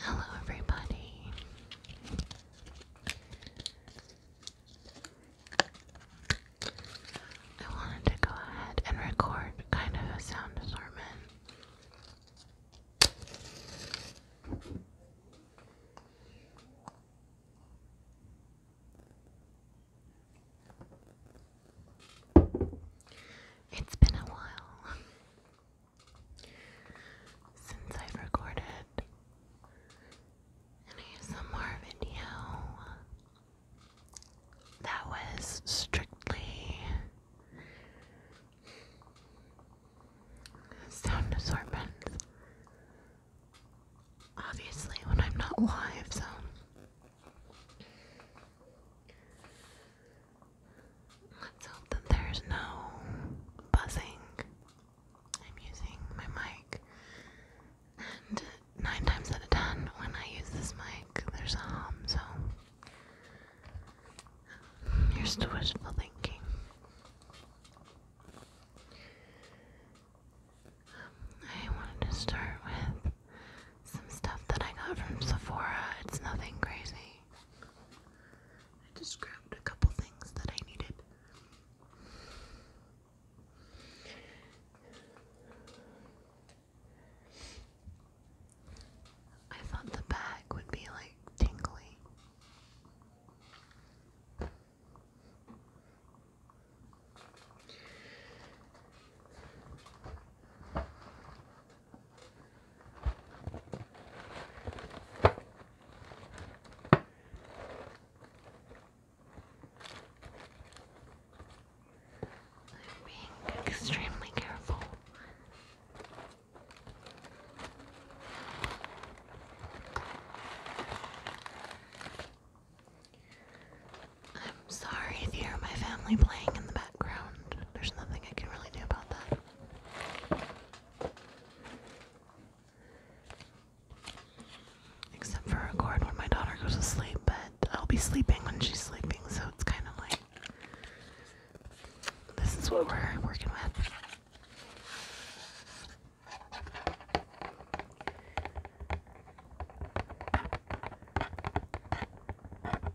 Hello, everybody. I wanted to go ahead and record kind of a sound assortment. It's been a while since I've recorded an ASMR video that was strictly sound assortment. Obviously, when I'm not live, so Let's hope that there's no buzzing. I'm using my mic, and nine times out of ten, when I use this mic, there's a hum, so here's to wishful thinking. I wanted to start with some stuff that I got from Sephora. It's nothing crazy. I just grabbed a couple things that I needed. I thought the bag would be like tingly. I'm being extremely careful. I'm sorry if you hear my family playing in the back. There's nothing I can really do about that. Except for record when my daughter goes to sleep, but I'll be sleeping when she's sleeping, so it's kind of like this is what we're working with.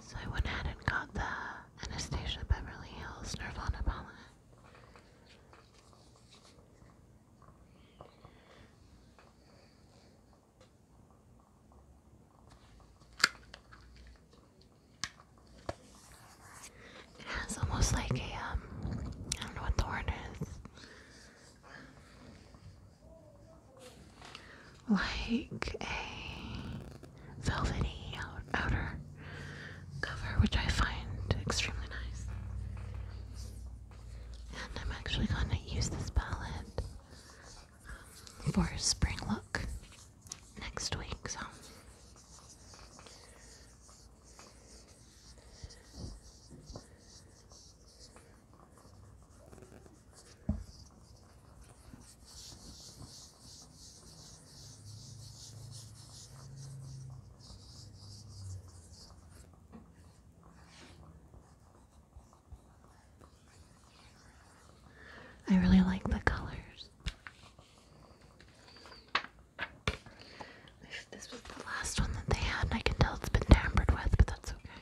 So I went ahead and got the Anastasia Beverly Hills Nirvana palette. It has almost like a um, don't know what the word is. Like a velvety outer cover, which I find extremely nice. And I'm actually going to use this palette for a spring look next week, so. I really like the colors. this was the last one that they had, I can tell it's been tampered with, but that's okay.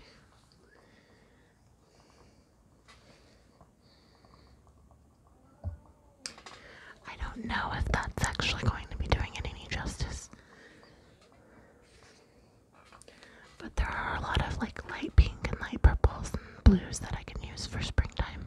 I don't know if that's actually going to be doing it any justice. But there are a lot of like light pink and light purples and blues that I can use for springtime.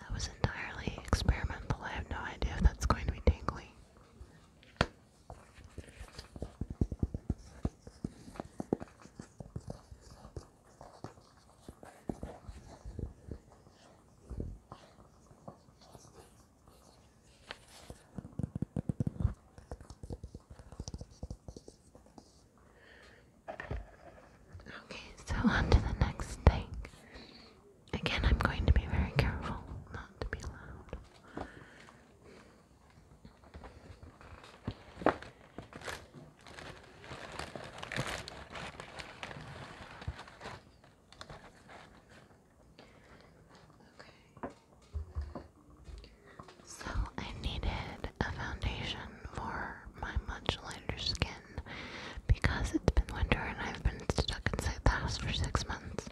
That was entirely experimental. I have no idea if that's going to be tingly. Okay, so on to the next thing. Again, I'm going to be very careful not to be loud. Okay. So I needed a foundation for my much lighter skin because it's been winter and I've been stuck inside the house for six months.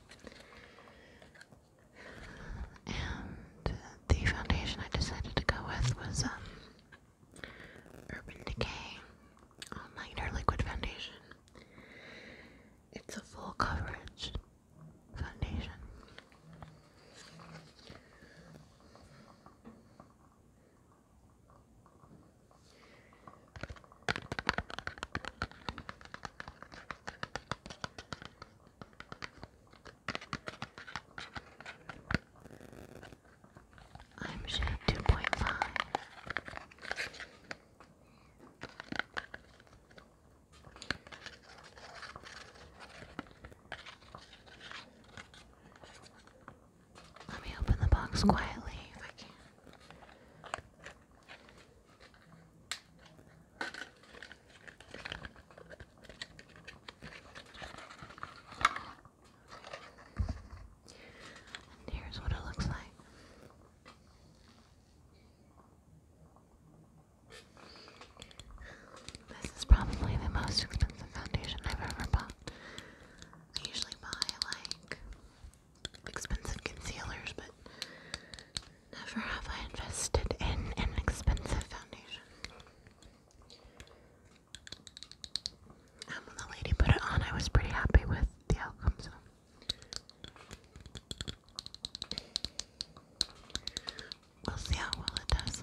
And the foundation I decided to go with was um, Urban Decay All um, Nighter Liquid Foundation. It's a full coverage foundation. I'm shade two point five. Let me open the box quietly here's what it looks like. This is probably the most expensive foundation I've ever bought. I usually buy like expensive concealers, but never have I invested in an expensive foundation. when the lady put it on, I was pretty happy with the outcome, so. We'll see how well it does.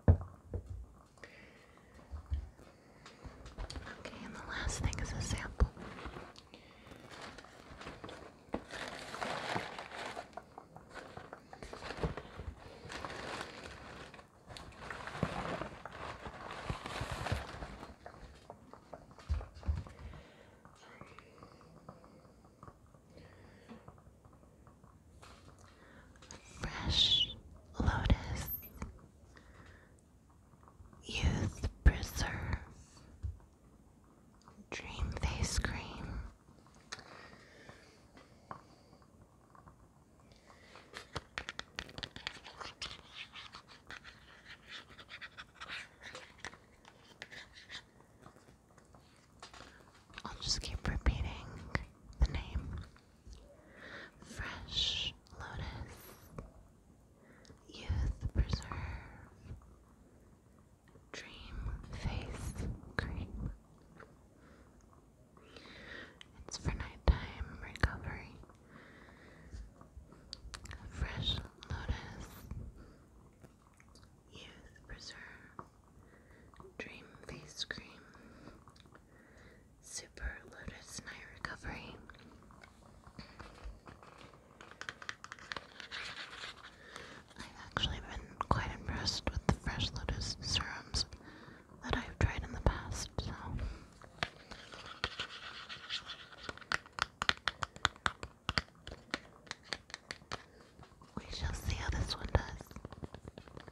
Okay, and the last thing is a sample. Fresh lotus Youth Preserve, Dream Face Cream, I'll just keep repeating the name. Fresh Lotus, Youth Preserve, Dream Face Cream. It's for nighttime recovery. Fresh Lotus, Youth Preserve, Dream Face Cream. Super Lotus Night Recovery. I've actually been quite impressed with the Fresh Lotus serums that I've tried in the past, We shall see how this one does.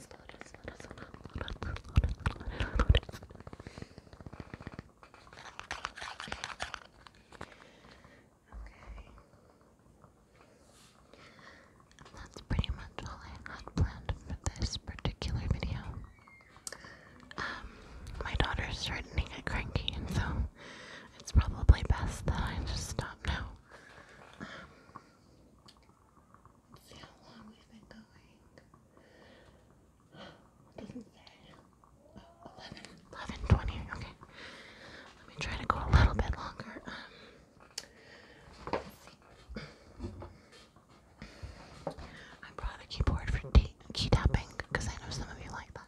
Okay. And that's pretty much all I had planned for this particular video. Um, my daughter's starting to get cranky, and so it's probably best that I just stop now. Um, See how going. It oh, Okay. Let me try to go a little bit longer. Um, I brought a keyboard for key tapping because I know some of you like that.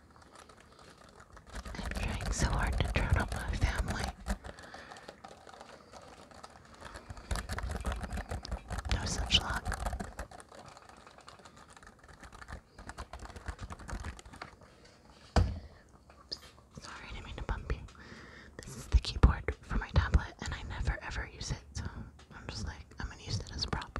I'm trying so hard to turn up my family. No such luck. Sorry, didn't mean to bump you. This is the keyboard for my tablet, and I never ever use it, so I'm just like, I'm gonna use it as a prop.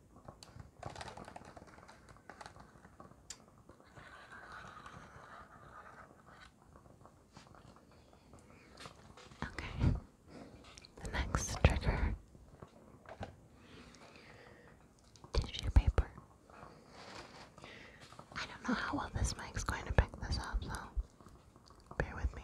Okay, the next trigger tissue paper. I don't know how well this mic's going to pick this up, so bear with me.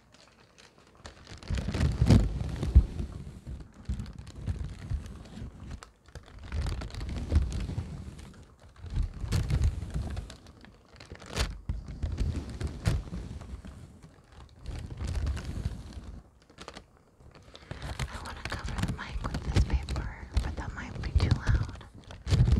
I want to cover the mic with this paper, but that might be too loud.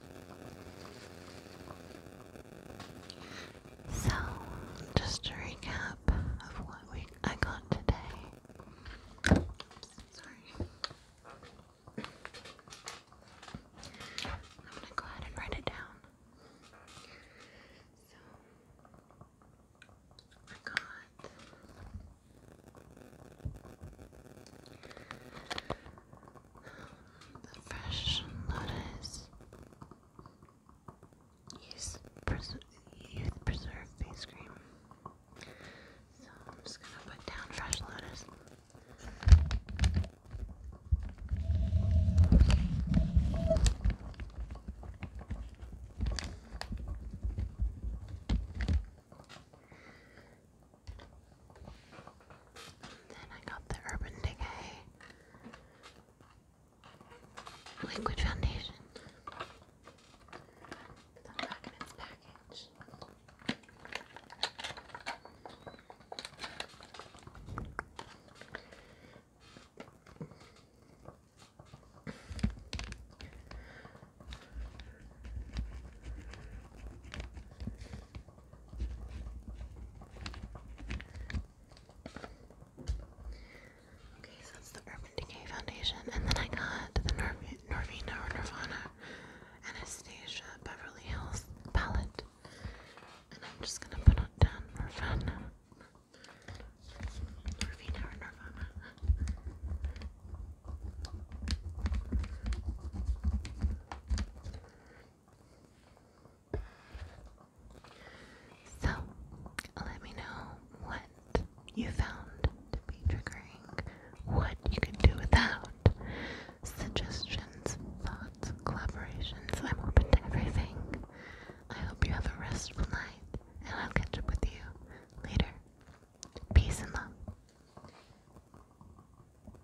So, just to recap of what we I got today. sorry. I'm gonna go ahead and write it down. So I got the fresh lettuce. youth preserve face cream. So I'm just gonna put down fresh lettuce. Then I got the Urban Decay Liquid Foundation. It's back in its package. Okay, so that's the Urban Decay Foundation, and then I got the Norv Norvina or Nirvana Anastasia Beverly Hills palette, and I'm just gonna put on down Nirvana. Norvina or Nirvana. So, let me know what you found to be triggering, what you can do without, suggestions, thoughts, collaborations. I'm open to everything. I hope you have a restful night, and I'll catch up with you later. Peace and love.